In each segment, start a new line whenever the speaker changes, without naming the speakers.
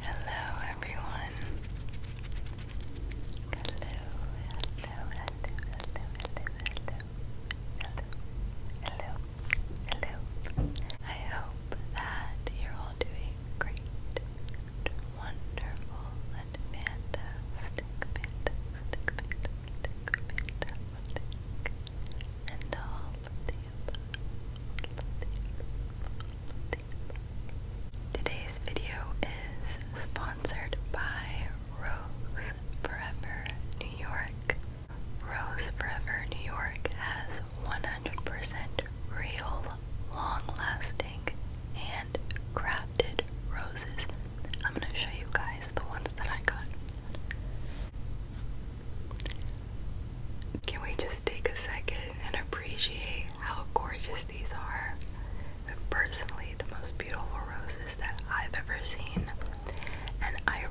Hello, everyone. Hello, hello, hello, hello, hello, hello, hello, hello, hello. I hope that you're all doing great, wonderful, and fantastic, fantastic, fantastic, fantastic, and all of the Today's video is sponsored by Rose Forever New York. Rose Forever New York has 100% real, long lasting, and crafted roses. I'm going to show you guys the ones that I got. Can we just take a second and appreciate how gorgeous these are? personally the most beautiful roses that I've ever seen. And I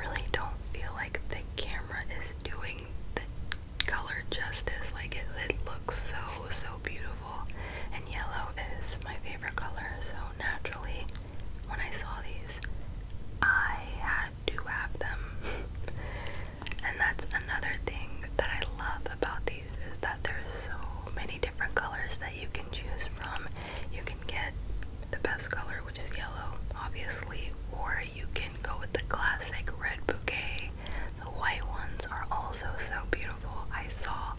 really don't feel like the camera is doing the color justice. Like it, it looks so, so beautiful. And yellow is my favorite color. So naturally, when I saw these, I had do have them. and that's another thing that I love about these is that there's so many different colors that you can choose from. You can get the best color, which is yellow, obviously, or you can go with the classic red bouquet. The white ones are also so beautiful. I saw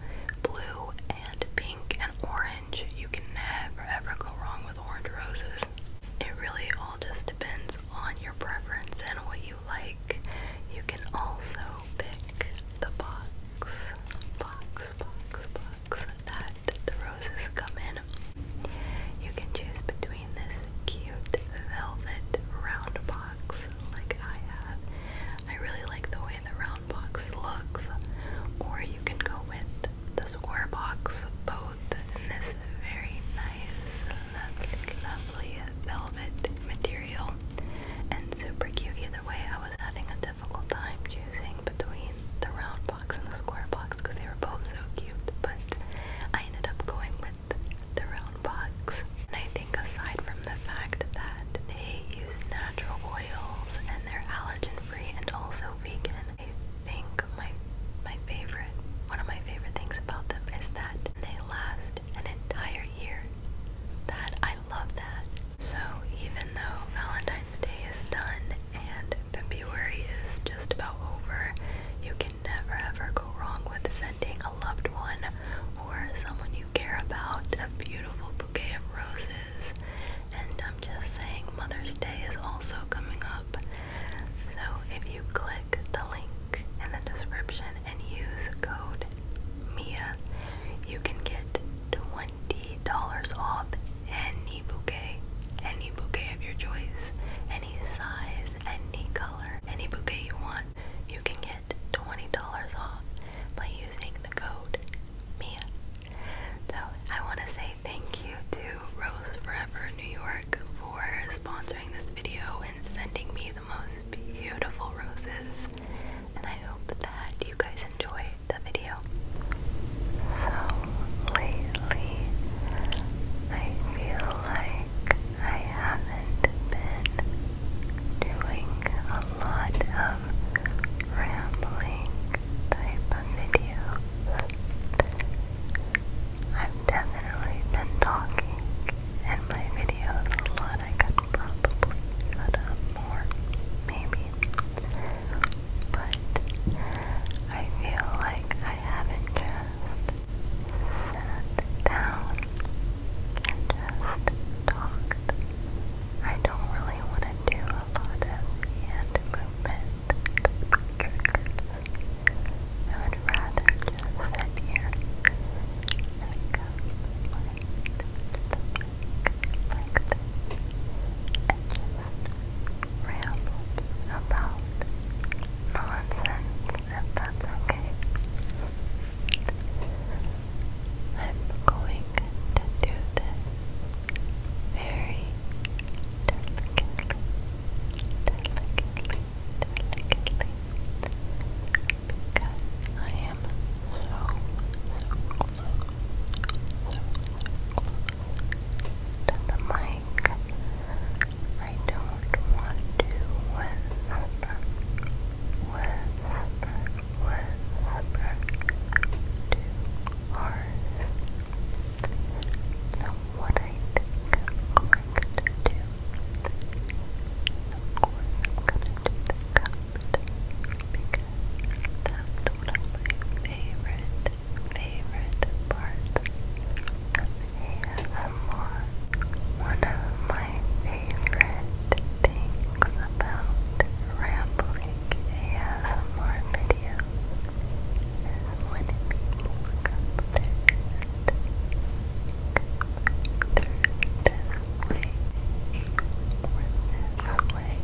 blue and pink and orange. You can never ever go wrong with orange roses it really all just depends on your preference and what you like. You can also pick the box, box, box, box that the roses come in. You can choose between this cute velvet round box like I have. I really like the way the round box looks. Or you can go with the square box both in this very nice, lovely, velvet material and super cute. Either way, I was having a difficult time choosing between the round box and the square box because they were both so cute, but I ended up going with the round box. And I think aside from the fact that they use natural oils and they're allergen free and also vegan, I think my my favorite one of my favorite things about them is that they last an entire year. That I love that. So even though Valentine's Day is done and February is just about over, you can never ever go wrong with sending a loved one or someone you care about a beautiful bouquet of roses. And I'm just saying Mother's Day is also coming up so if you click the link in the description and use code Mia, you can get twenty dollars off any bouquet, any bouquet of your choice, any size, any color, any bouquet you want. You can get twenty dollars off by using the code Mia. So I want to say thank you to Rose Forever New York for sponsoring this video and sending me the most beautiful roses. And I hope that you guys enjoy the video. So lately, I feel like I haven't been doing a lot of rambling type of videos. I've definitely been talking in my videos a lot. I could probably shut up more, maybe. But I feel like I haven't just sat down and just talked. I don't really want to do a lot of hand movement I would rather just sit here and cup the mic ramble about nonsense if that's okay. I'm going to do this very delicately, delicately, I am so, close, to the mic. I don't want to whisper, whisper, whisper too hard. So what I think I'm going to do. Of I'm going to do because that's one of my favorite, favorite parts of ASMR. One of my favorite things about rambling ASMR videos when people look up their this way this way.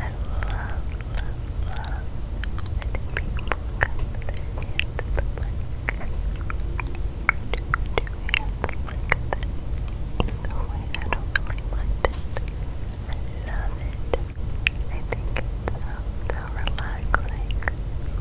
I love, love, love when people come with their hands to the mic. Do, do hands like this. Either way, I don't really it. I love it. I think it's so, so relaxing.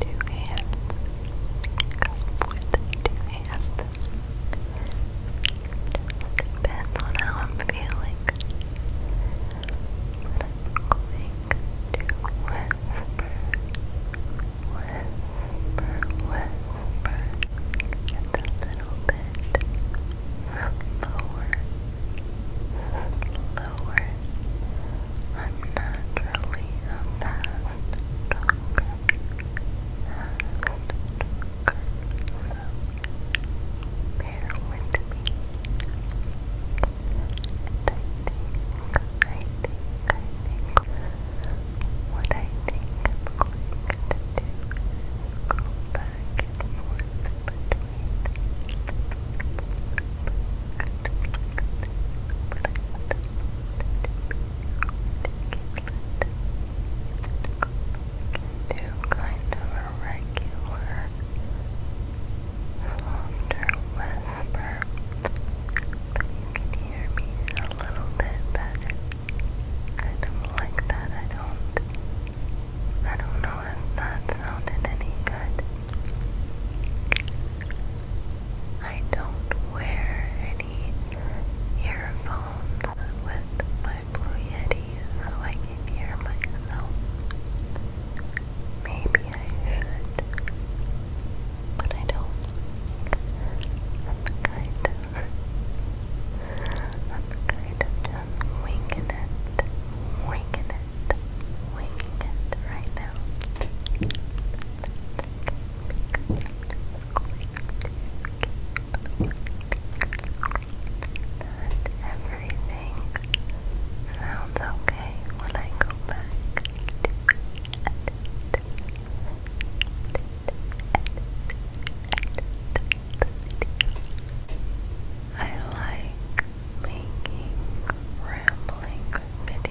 two hands. Cup with two hands. Depends on how I'm feeling. But I'm going to whisper, whisper, whisper, a little bit slower, lower. I'm naturally a fast talker. Fast talker. So bear with me. And I think, I think, I think what I think I'm going to do is go back and forth between do kind of a softer whisper you can hear me a little bit better kind of like that I don't I don't know if that sounded any good I don't wear any earphones with my Blue Yeti so I can hear myself. Maybe I should, but I don't. I'm kind of, I'm kind of just winging it, winging it it, winging it right now. everything sounds okay when I go back I like making rambling videos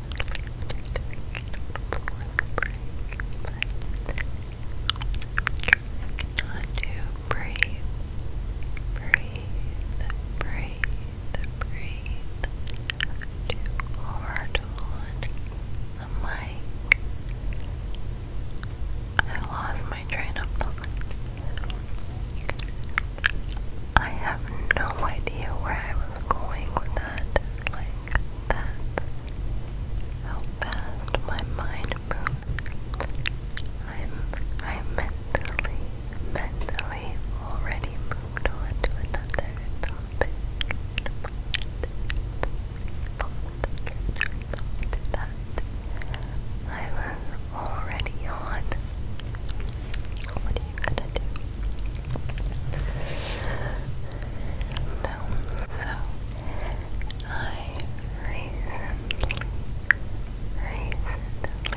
to breathe, breathe, breathe, breathe. Too hard on the I lost my train of thought. I have no idea where I was going with that. Like, that how fast my mind moves. I'm i mentally mentally already moved on to another topic. That I was already on. What are you gonna do? film. So I recently, recently turned 23 I turned 23 last week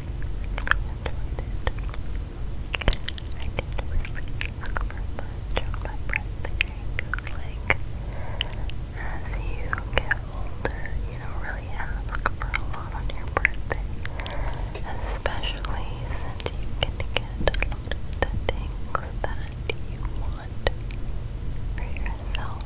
I as you get older you don't really ask for a lot on your birthday especially since you can get a lot of things that you want for yourself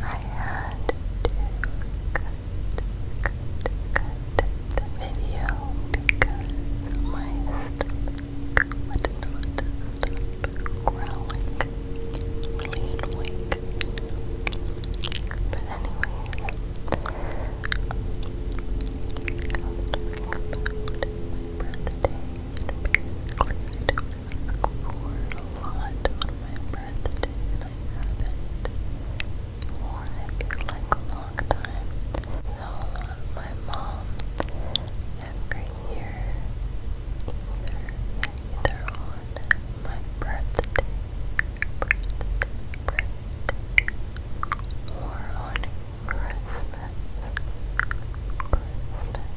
I had to cut, cut, cut the video because my stomach would not stop But anyway, birthday for a lot on my birthday and I have like a long time. So my mom every year either either on my birthday, birthday, birthday or on Christmas. Christmas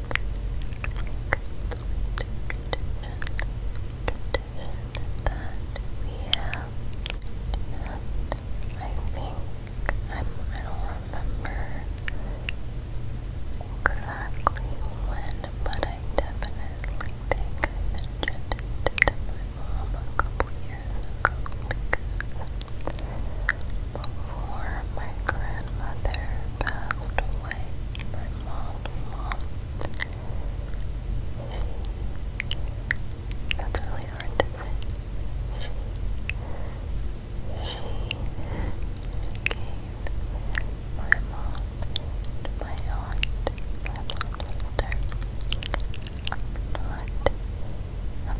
that we have. I think I'm, I don't remember exactly when, but I definitely think mentioned it to my a couple years before my grandmother passed away, my mom's mom. She, that's really hard to say. She, she, she gave my mom my aunt, my mom's sister. I'm I'm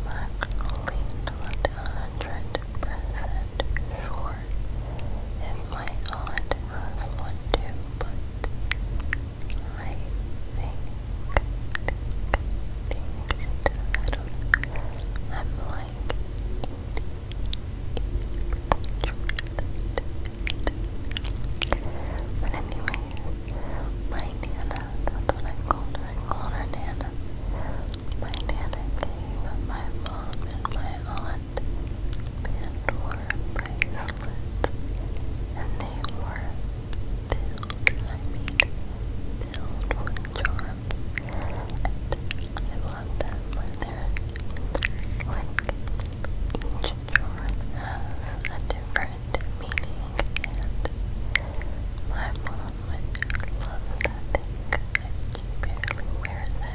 actually not a hundred percent sure my aunt has one but I think, I don't know. I'm like but anyway, my Nana, that's what I called her, I called her Nana. My Nana gave my mom and my aunt want Pandora bracelets, and they were filled, I filled with charms, and I love them where they're, like, each charm has a different meaning, and my mom, I love that and she barely wears it.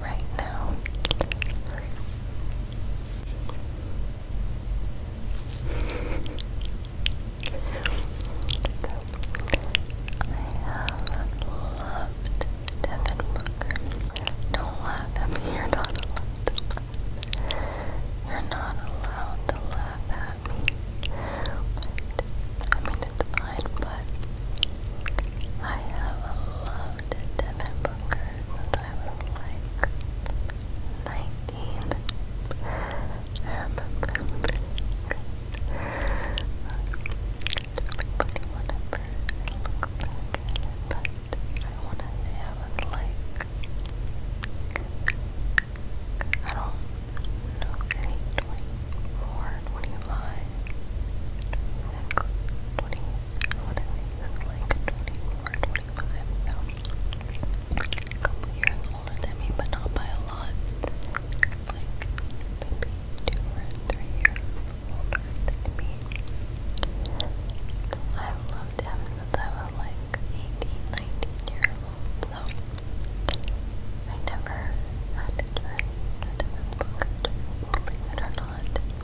right now. I have loved Devin Booker. Don't laugh at me, you're not allowed You're not allowed to laugh at me. I mean, it's fine, but I have loved loved Devin Booker since I was like 19. I remember being really funny whenever I look back at it, but I want to say I was like, I don't know, 24, 25. 20, I want to think 25, so a older than me, but not by a lot. Like maybe two or three years older than me. I loved him since I was like 18, years old, so I never had a different book, believe it or not i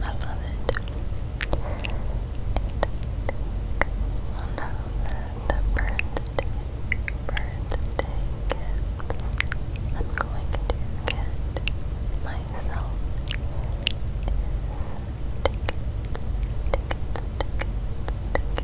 love it. And the, the birthday, birthday I'm going to get myself tickets, tickets, tickets, tickets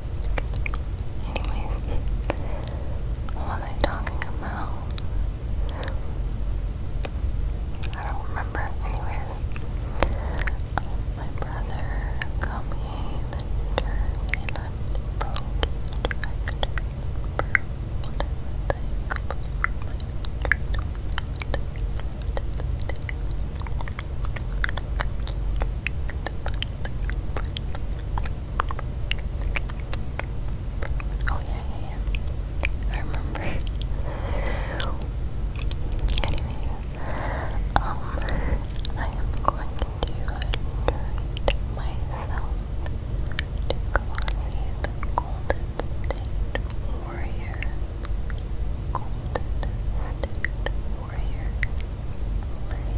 Anyways, what was I talking about? I don't remember. Anyways, my brother got me the turn and I'm looking to Oh yeah, yeah, yeah. I remember. anyway, um, I am going to treat myself to Kalani the Golden State Warrior. Golden State Warrior. Light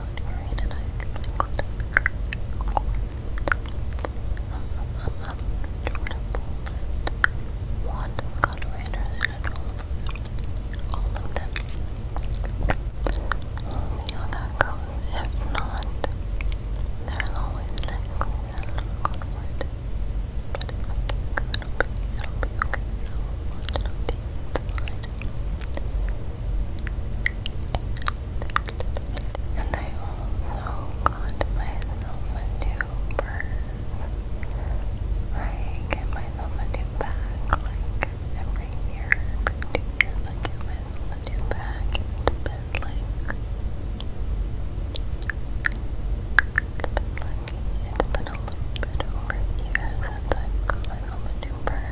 Lord I clicked um, um, um, Jordan Poland, Wanda, Connor all, of them. You know that goes, if not, there's always next I can't go, it'll be, it'll be okay. So, I want to know the end and I also got myself a new purse. I get myself a new bag like every year, I get myself a new bag. It's like it's been lucky. a little bit over a year i got myself a new purse.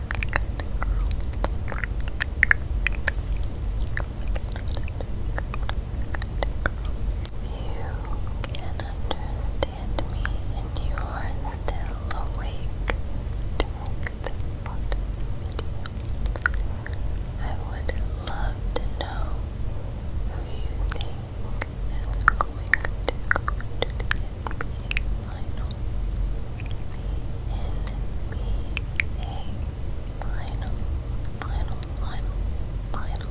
You can understand me and you are still awake to the video. I would love to know who you think is going to go the final. NBA final, final, final, final.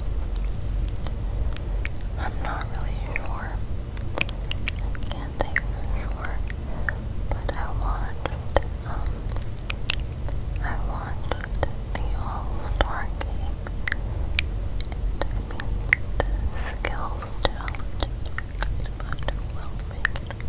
I'm not really sure. can't think for sure, but I watched, I watched the All-Star and the skills challenge, but who will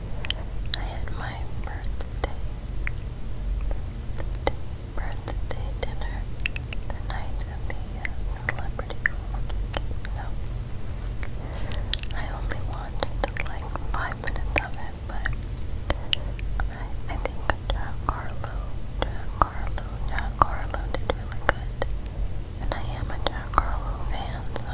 I had my birthday, birthday, dinner the night of the uh, celebrity No, I only watched like five minutes of it, but I, I think Giancarlo, Giancarlo, Giancarlo did really good. And I am a Giancarlo fan, so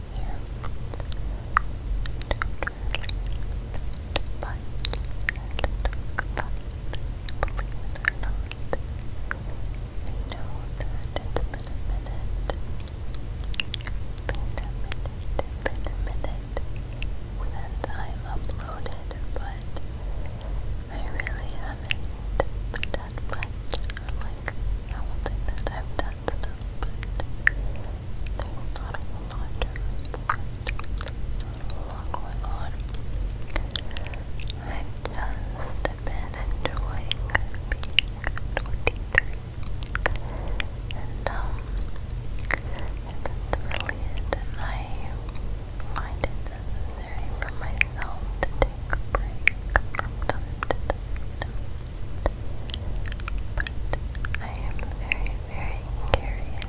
here. Don't really talk about it, believe it or not. I know that it's been a minute. Been a minute, been a minute since I've uploaded, but I really haven't done that, but like I that I've done stuff, but there's not a lot going on. I've just been enjoying being 23. And um and really I find it necessary for myself to take a break from time to time. But I am very, very curious.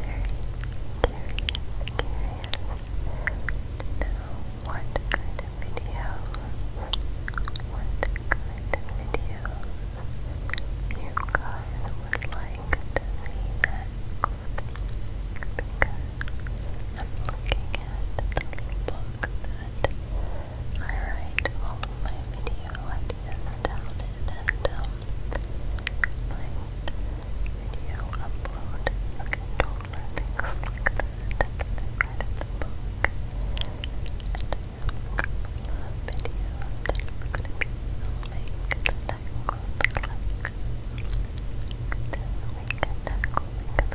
Very curious, curious what kind of videos, what kind of videos you guys would like I'm looking at the book that. I write all my video ideas down and um, my video upload controller, things like that. And I the book. And I have a couple of videos that I'm going to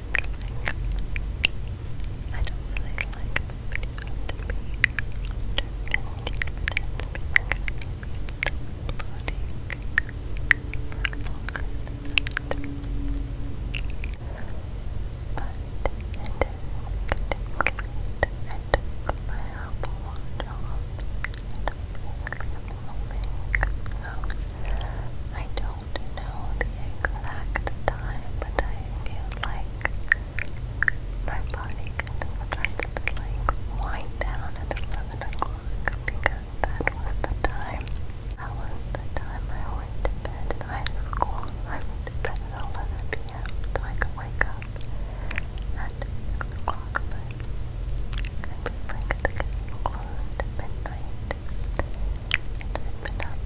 like, I don't really like my video to be under 15 minutes because I'm uploading for longer than that. But it is getting late. I took my Apple Watch off and I'm really annoying, so I don't don't know the exact time, but I feel like my body kind of to like wind down at 11 o'clock because that was the time. That was the time I went to bed I went to bed at 11 p.m. so I could wake up at 6 o'clock, but like it's getting midnight i am tired.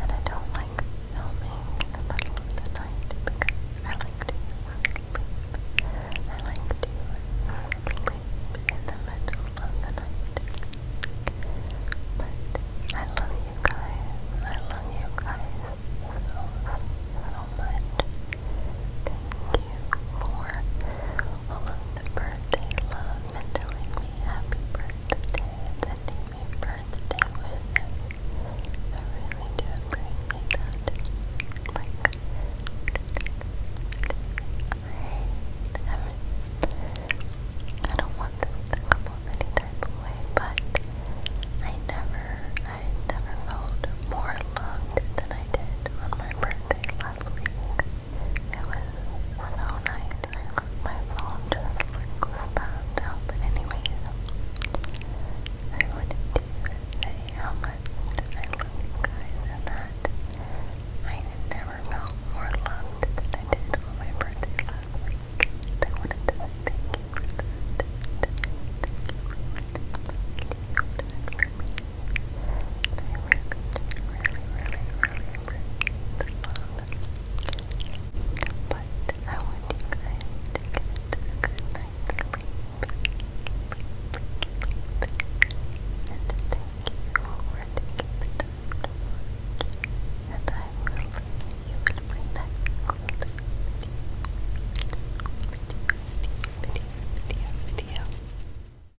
And I don't like filming in the middle of the night because I like to sleep. I like to sleep in the middle of the night. But I love you guys. I love you guys so, so much for all birthday love and telling me happy birthday and sending me birthday wishes. I really do appreciate that. Like, I not I don't want this to come any type of way, but I never, I never felt more loved than I did on my birthday last week. It was so nice. I looked my phone just like out. But anyways, I wanted to say how much I love you guys that I never felt more loved than I did on my birthday last week. And I wanted to say thank you I really, really, really, really appreciate the love. But I want you guys to get a good night's sleep. Sleep, sleep, sleep. thank you for taking the time to watch. And I will see you in my next video. Video, video, video, video.